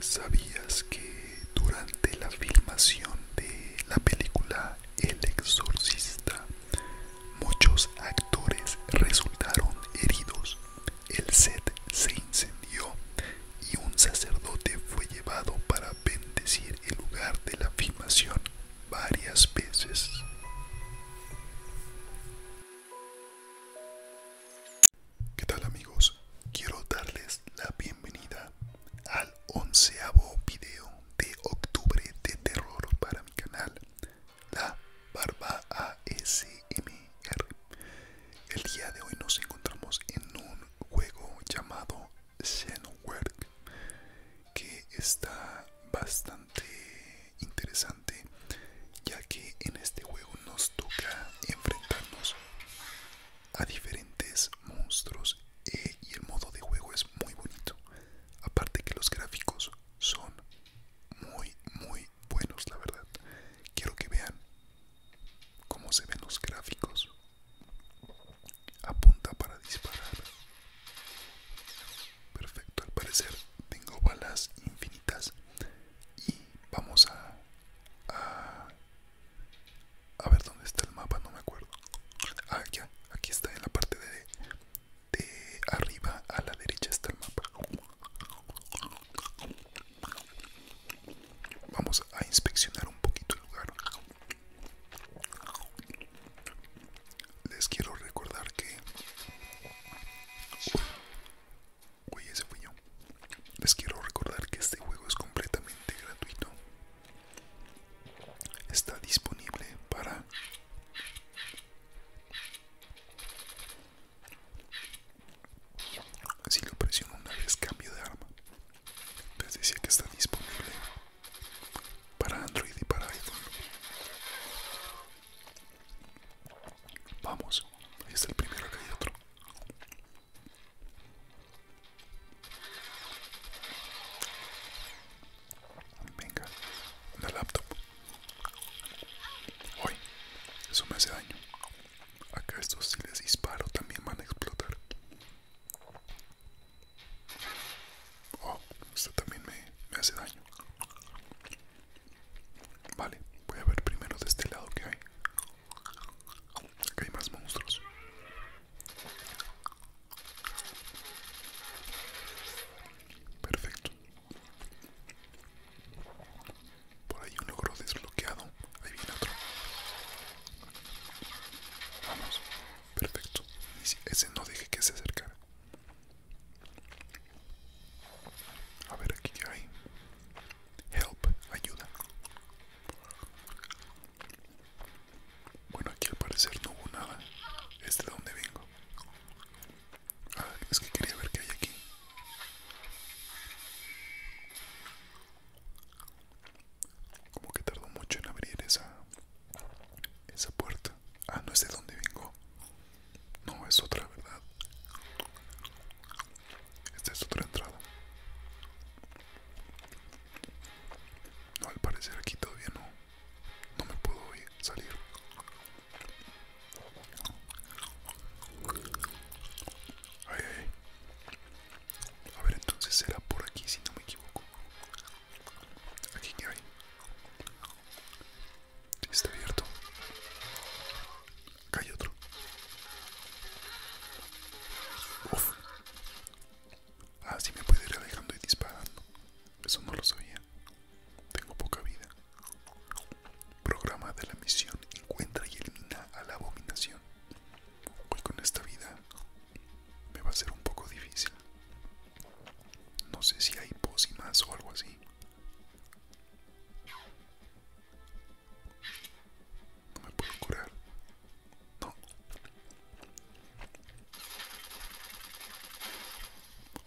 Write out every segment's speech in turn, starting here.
¿Sabías que durante la filmación de la película El Exorcista, muchos actores resultaron heridos. El set se incendió y un sacerdote fue llevado para bendecir el lugar de la filmación varias veces. ¿Qué tal amigos? Quiero darles la bienvenida bienvenida al onceavo video de octubre de terror para mi canal, La Barba ASMR. El día de hoy nos encontramos en un juego llamado Xenowork que está bastante interesante ya que en este juego nos toca enfrentarnos a diferentes monstruos eh, y el modo de juego es muy bonito. Aparte que los gráficos son muy, muy buenos, la verdad. Quiero que vean cómo se ven los gráficos. Apunta para disparar. Perfecto, al parecer tengo balas infinitas y vamos a a ver dónde está el mapa, no me acuerdo. Ah, ya, aquí está en la parte de, de arriba a la derecha está el mapa. Vamos a inspeccionar un poquito el lugar. Les quiero recordar que... Oye ese les quiero recordar que este juego es completamente gratuito. Está disponible para si lo presiono una vez cambio de arma. Les decía que está disponible para Android y para iPhone. Vamos, ahí está el primero que hay otro. Venga, una laptop. Hoy, eso me hace daño. Acá estos si les disparo también van a explotar. Oh, esto también me, me hace daño. Vale, voy a ver primero de este lado que hay. Acá hay más monstruos. Perfecto. Por ahí un logro desbloqueado. Ahí viene otro. Vamos. Perfecto. Ese no dije que se acercara. A ver, aquí ya hay. Help, ayuda. Bueno, aquí al parecer no hubo nada. ¿Es de dónde vengo? Ah, es que quería ver qué hay aquí. Como que tardó mucho en abrir esa, esa puerta. Ah, no es de dónde vengo. No, es otra, ¿verdad? Esta es otra entrada. No, al parecer aquí todavía no. No me puedo salir. A ver, entonces será por aquí si no me equivoco. Aquí que hay. está abierto. Cae otro. Uf. Ah, sí me puede ir alejando y disparando. Eso no lo sabía. Tengo poca vida. Programa de la misión. Encuentra y elimina a la abominación. Hoy con esta vida me va a ser un poco difícil. No sé si hay posimas o algo así. No me puedo curar. No. O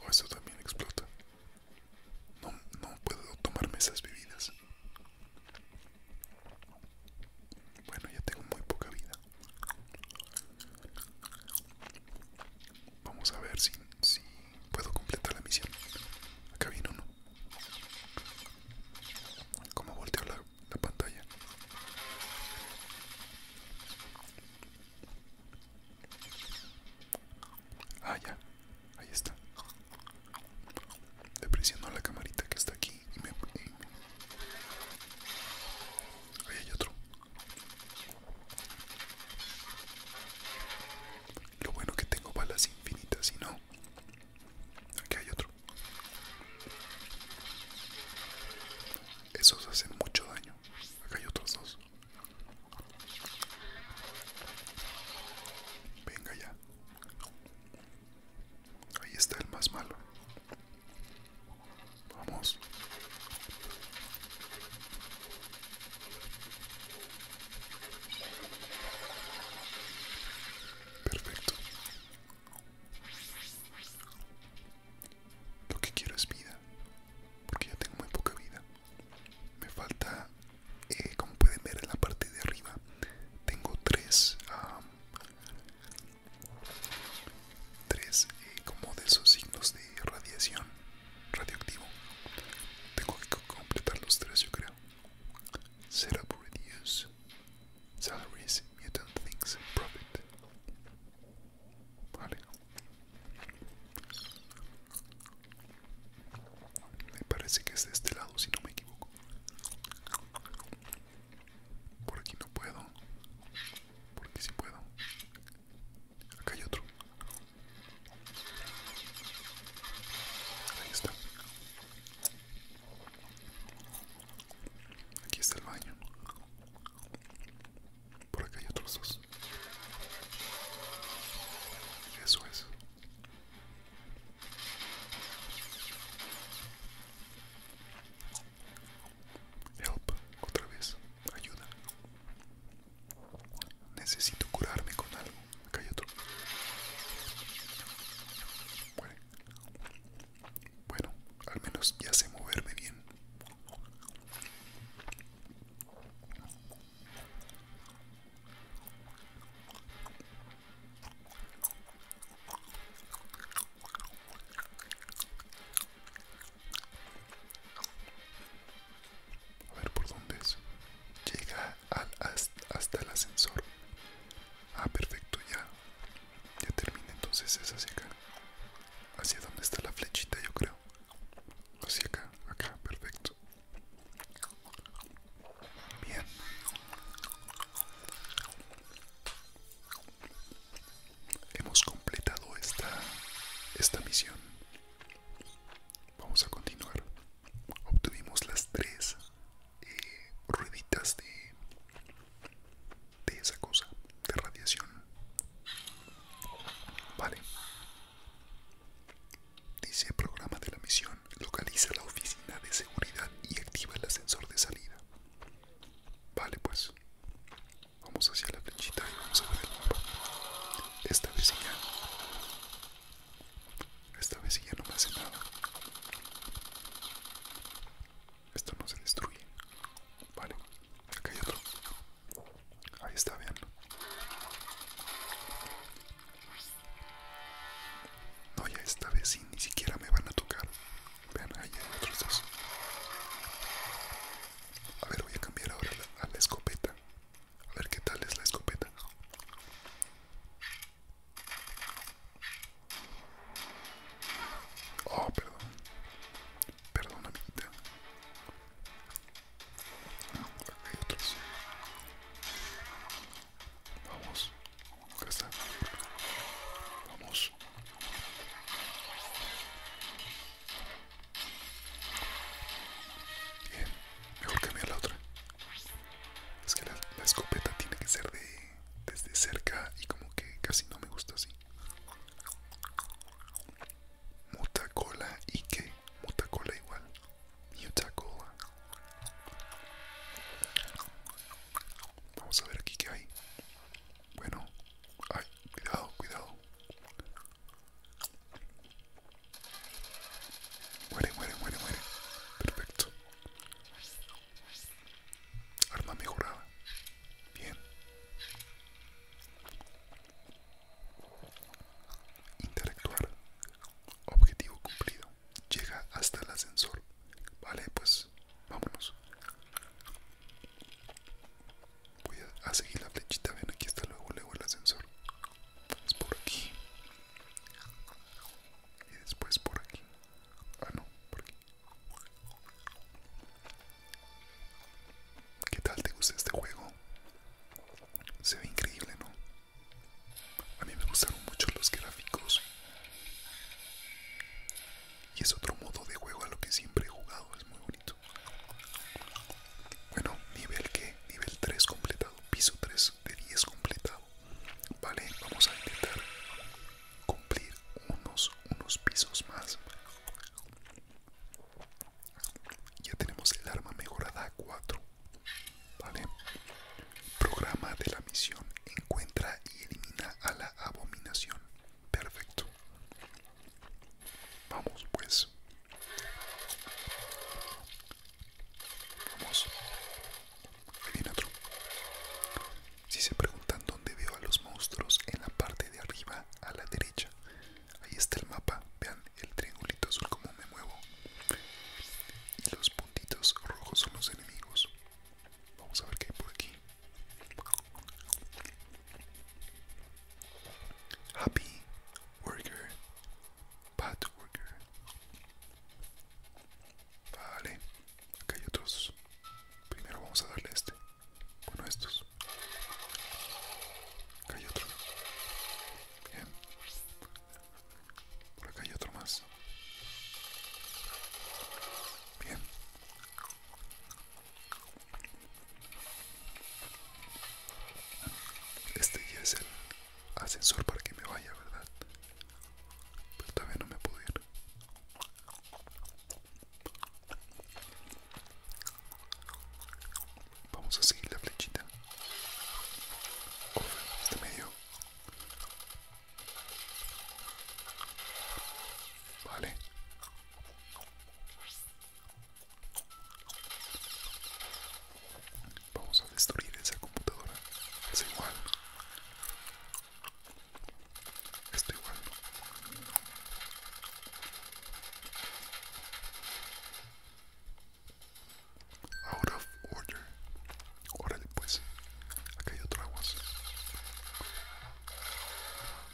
oh, esto eso también explota. No, no puedo tomarme esas bebidas. Bueno, ya tengo muy poca vida. Vamos a ver si, puedo completar la misión. Acá vino, uno. Como volteó la, pantalla. Ah, ya. Ahí está. Depresionó la camarita que está aquí y me... Ahí hay otro. Lo bueno que tengo balas infinitas y no... Aquí hay otro. Esos hacen mucho daño. Acá hay otros dos. Venga ya. Ahí está el más malo. Vamos. Perfecto. Lo que quiero es vida, porque ya tengo muy poca vida. Me falta, eh, como pueden ver en la parte de arriba, tengo tres, tres eh, como de esos signos de radiación, radioactivo. Tengo que completar los tres, yo creo set reduce salaries, mutant things, profit. Vale. Me parece que es de este lado, si no me equivoco. Por aquí no puedo. Por aquí sí puedo. Acá hay otro. Ahí está. Aquí está el baño. Por acá hay otros dos. Eso es. Help, otra vez, ayuda. Necesito curarme con algo. otro. Bueno, al menos ya sé moverme bien. A ver por dónde es. Llega al, hasta el ascensor. Ah, perfecto, ya. Ya termina entonces es hacia acá. Hacia donde está la flechita, yo creo. Hacia acá, acá, perfecto. Bien. Hemos completado esta esta misión. Vamos a continuar obtuvimos las tres eh, rueditas de, esa cosa de radiación vale dice el programa de la misión localiza la oficina de seguridad y activa el ascensor de salida vale pues vamos hacia la flechita y vamos a ver el mapa esta ya esta vez ya no me hace nada. Esto no se destruye. Vale, acá hay otro. Ahí está, vean. No, ya esta vez sí, ni siquiera me van a tocar. Vean, ahí hay otros dos. A ver, voy a cambiar ahora a la escopeta. A ver qué tal es la escopeta. Oh, perdón. Perdón, amiguita. otros. Vamos. Acá está. Vamos. Bien, mejor cambiar la otra. Es que la, escopeta tiene que ser de desde cerca y como que casi no me gusta así. Mutacola y qué? Mutacola igual. Mutacola. Vamos a ver aquí qué hay. Bueno, ay, cuidado, cuidado. Muere, muere, muere, muere. Perfecto. Arma mejorada. Bien. Intelectual. Objetivo cumplido. Llega hasta el ascensor. Vale, pues vámonos. Voy a, seguir la flechita. Ven, aquí está luego, luego el ascensor por aquí. Y después por aquí. Ah, no, por aquí. ¿Qué tal te gusta este juego? Se ve increíble, ¿no? A mí me gustaron mucho los gráficos. Y es otro modo de juego a lo que siempre he jugado, es muy bonito. Bueno, nivel que, nivel 3 completado, piso 3 de 10 completado. Vale, vamos a intentar cumplir unos, unos pisos más. Ya tenemos el arma mejorada 4. Vale. Programa de la misión. Encuentra y elimina a la abominación. Perfecto. Vamos pues. Vamos. Ahí viene Si se preguntan dónde veo a los monstruos, en la parte de arriba a la derecha. Ahí está el mapa. Vean el triangulito azul como me muevo. Y los puntitos rojos son los enemigos. Vamos a ver qué hay por aquí. Happy Worker, Bad Worker. Vale, acá hay otros. Primero vamos a darle este. Bueno, estos. Acá hay otro. Bien. Por acá hay otro más. Bien. Este ya es el ascensor para que me vaya, ¿verdad? Pero todavía no me puedo ir. Vamos a seguir la flechita. este medio. Vale. Vamos a destruir esa computadora. Es igual. Esto igual. Out of order. Órale pues. Acá hay otro aguas.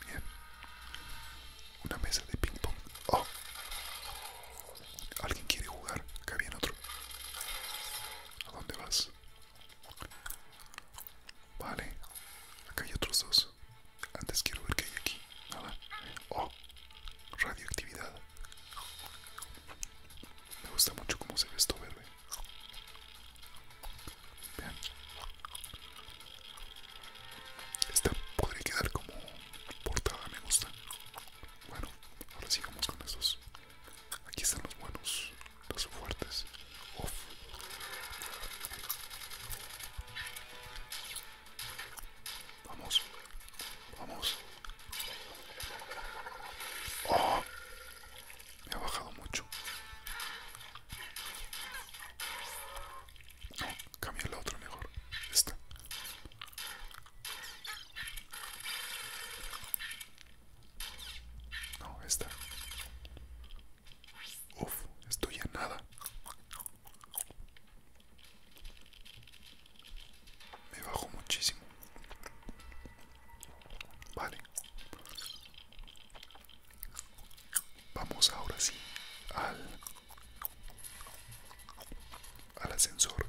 Bien. Una mesa de ping pong. Oh. ¿Alguien quiere jugar? Acá viene otro. ¿A dónde vas? Vale. Acá hay otros dos. Antes quiero ver qué hay aquí. Nada. Oh. Radioactividad. Me gusta mucho cómo se ve esto verde. Vean. Esta podría quedar como portada, me gusta. Bueno, ahora sigamos con estos. Aquí están los buenos, los fuertes. Vamos, vamos. Ah, me ha bajado mucho. No, cambia la otra mejor. Esta. No, esta. Uf, estoy a nada. Me bajo muchísimo. Vale. Vamos ahora sí al al ascensor.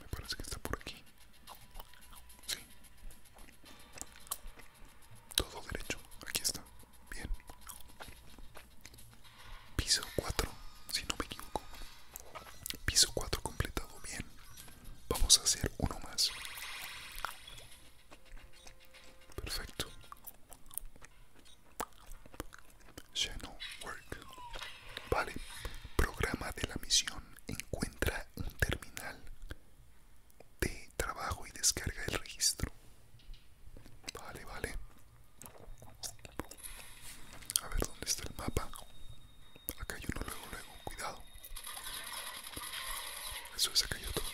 Me parece que está por aquí. Todo derecho. Aquí está. Bien. Piso 4, si no me equivoco. Piso 4 completado. Bien. Vamos a hacer uno más. Perfecto. Channel Work. Vale. Programa de la misión. Encuentra un terminal de trabajo y descarga el registro. Vale, vale. A ver dónde está el mapa. Acá hay uno luego, luego. Cuidado. Eso es acá hay otro.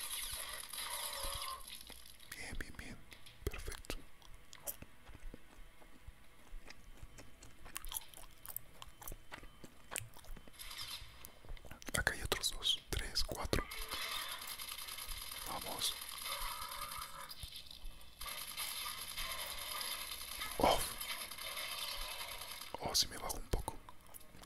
Bien, bien, bien. Perfecto. Acá hay otros dos, tres, cuatro. Vamos. Oh, si me bajo un poco.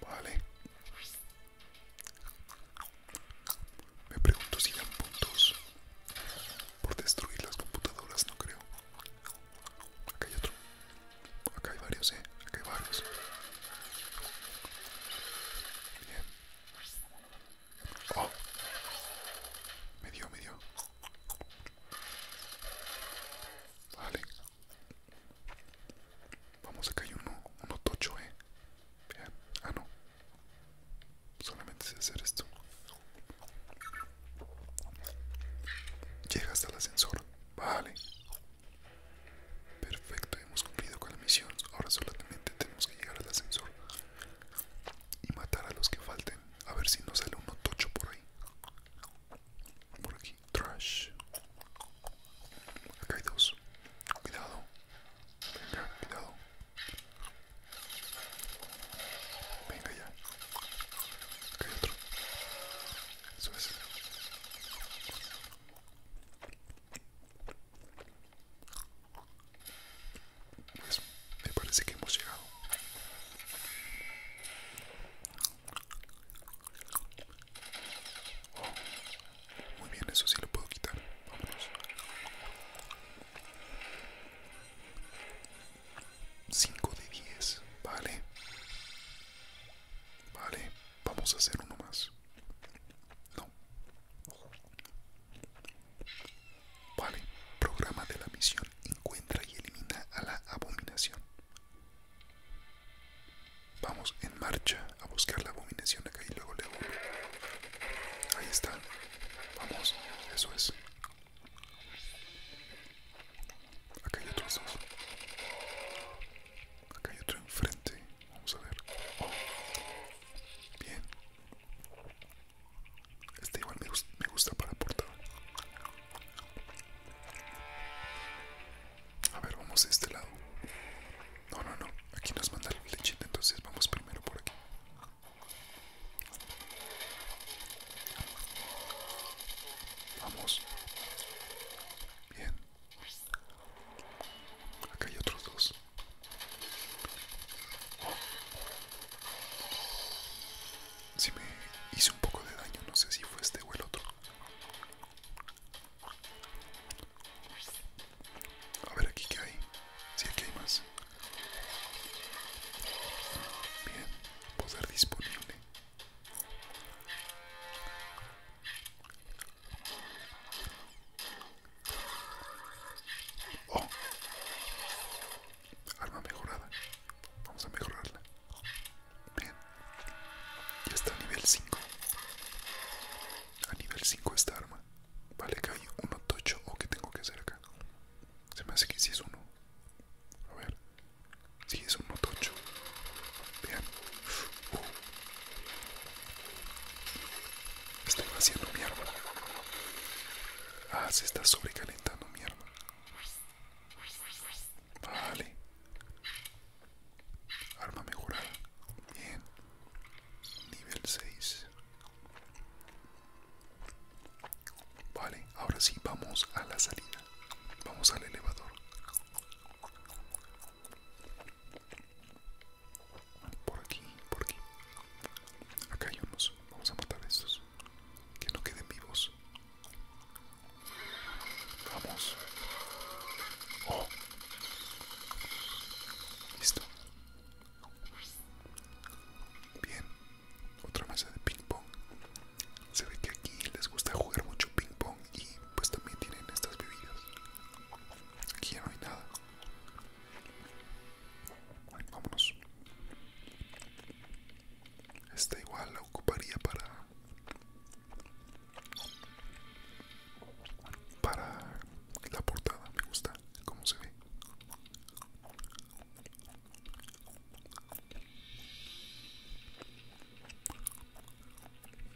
Vale. Me pregunto si dan puntos por destruir las computadoras, no creo. Acá hay otro. Acá hay varios, eh. Acá hay varios. Bien. Oh. Me dio, me dio. Vale. Vamos, a hay uno, uno tocho, eh. Ah, no. Solamente hacer esto. Llega hasta el ascensor. Vale. Perfecto, hemos cumplido con la misión. Ahora solamente tenemos que llegar al ascensor y matar a los que falten. A ver si nos sale uno tocho por ahí. Por aquí. Trash. Acá hay dos. Cuidado. Venga, cuidado. Venga ya. Acá hay otro. Eso es. Pues me parece que hemos llegado muy bien, eso sí lo puedo quitar. Vámonos. 5 de 10, vale. Vale, vamos a hacer uno más. No. Vale, programa de la misión. Encuentra y elimina a la abominación. Vamos en marcha a buscar la abominación acá y luego le doy Ahí está. Vamos, eso es. Acá hay otros dos. Acá hay otro enfrente. Vamos a ver. Bien. Este igual me, gusta para portada a ver, vamos a este lado. No, no, no. Aquí nos manda la flechita, entonces vamos primero por aquí. Vamos. Bien. Acá hay otros dos. Si me hice un poco de daño, no sé si fue este o el otro. A ver aquí ¿qué hay. Si aquí hay más. Bien, poder disponible. Oh, Arma mejorada. Vamos a mejorarla. Bien. Ya está a nivel 5. A nivel 5 esta arma. Vale, que hay uno tocho o que tengo que hacer acá. Se me hace que si sí es uno. A ver. Si es uno tocho. Vean. Uh. Estoy vaciando mi arma. Ah, se está sobrecalentando mi arma. Vale. Arma mejorada. Bien. Nivel 6. Vale, ahora sí vamos a la salida. Vamos al elevador. Por aquí, por aquí. Acá hay unos. Vamos a matar a estos. Que no queden vivos. Vamos. Oh. Listo. Bien. Otra masa de ping pong. Se ve que aquí les gusta jugar mucho ping pong y pues también tienen estas bebidas. Aquí ya no hay nada. Vámonos. Esta igual la ocuparía para para la portada, me gusta cómo se ve.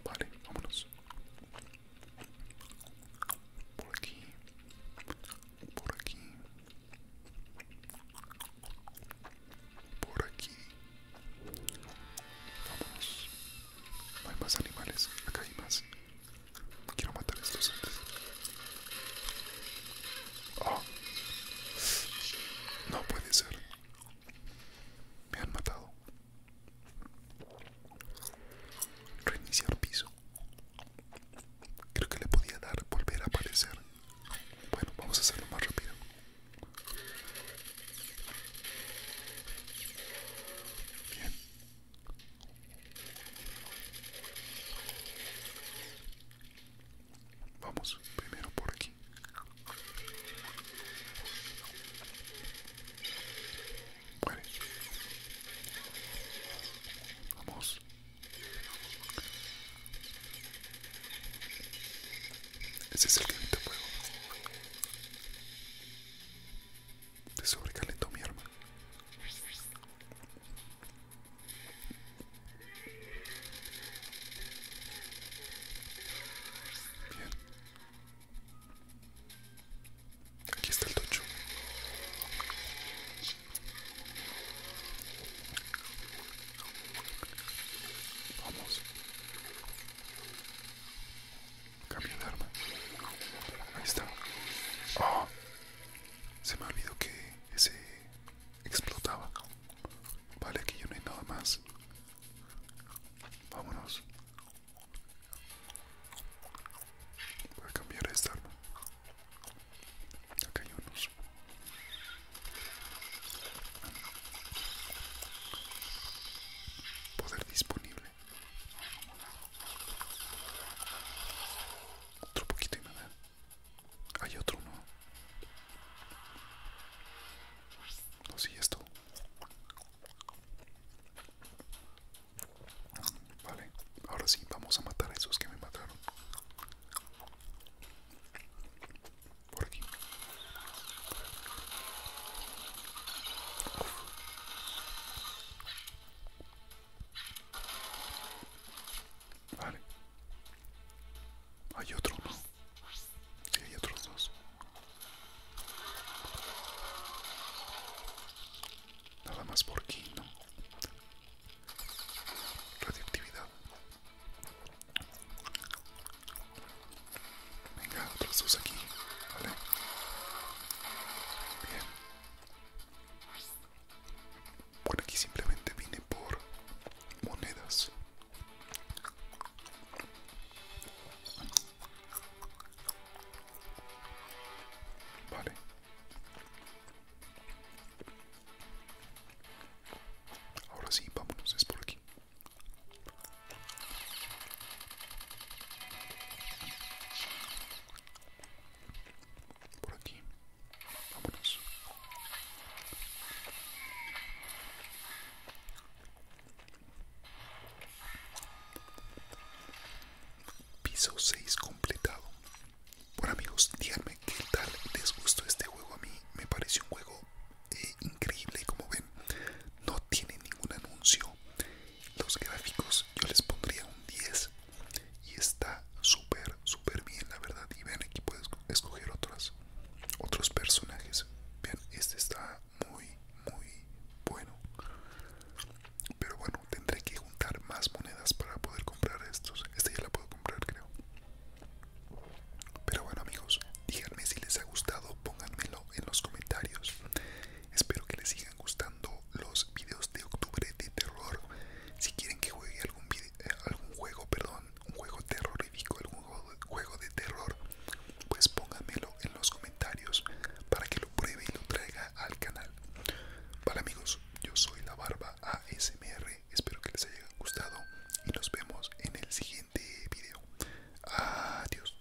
Vale, vámonos. Por aquí. Por aquí por aquí vamos no hay más animales acá hay más quiero matar estos antes ah. no puede ser me han matado reiniciar piso creo que le podía dar volver a aparecer bueno, vamos a hacerlo más rápido. Bien. Vamos primero por aquí. Vamos. Ese es el quinto fuego. Te sobrecalentó mi arma. Bien. Aquí está el tocho. Vamos. Cambio de arma. Ahí está. Ah, se me ha olvidado que ese explotaba. Vale, aquí ya no hay nada más. Vámonos. Voy a cambiar esta arma. Acá hay unos. Poder disponible. Otro poquito y nada. Hay otro, ¿no? No, sí, esto. Vale, ahora sí, vamos a matar a esos que me mataron. Por Vale. Hay otro, ¿no? Sí, hay otros dos. Nada más por aquí, ¿no? Radioactividad. Venga, otros dos aquí. Vale. Bien. Por aquí simplemente vine por monedas. Vale. Ahora sí, vámonos, es por aquí. Por aquí. Vámonos. Piso 6 completado. Bueno amigos, díganme qué tal les gustó este juego. A mí me pareció un juego eh, increíble. Como ven, no tiene ningún anuncio. Los gráficos yo les pondría un 10. Y está súper, súper bien, la verdad. Y ven, aquí puedes escoger otras, otros personajes. Vean, este está muy, muy bueno. Pero bueno, tendré que juntar más monedas para poder comprar estos. Esta ya la puedo comprar, creo. Pero bueno, amigos, díganme si les ha gustado, pónganmelo en los comentarios. Espero que les sigan gustando los videos de octubre de terror. Si quieren que juegue algún, video, eh, algún juego, perdón, un juego terrorífico, algún juego de terror, pues pónganmelo en los comentarios para que lo pruebe y lo traiga al canal. Vale amigos, yo soy la barba ASMR, espero que les haya gustado y nos vemos en el siguiente video. Adiós.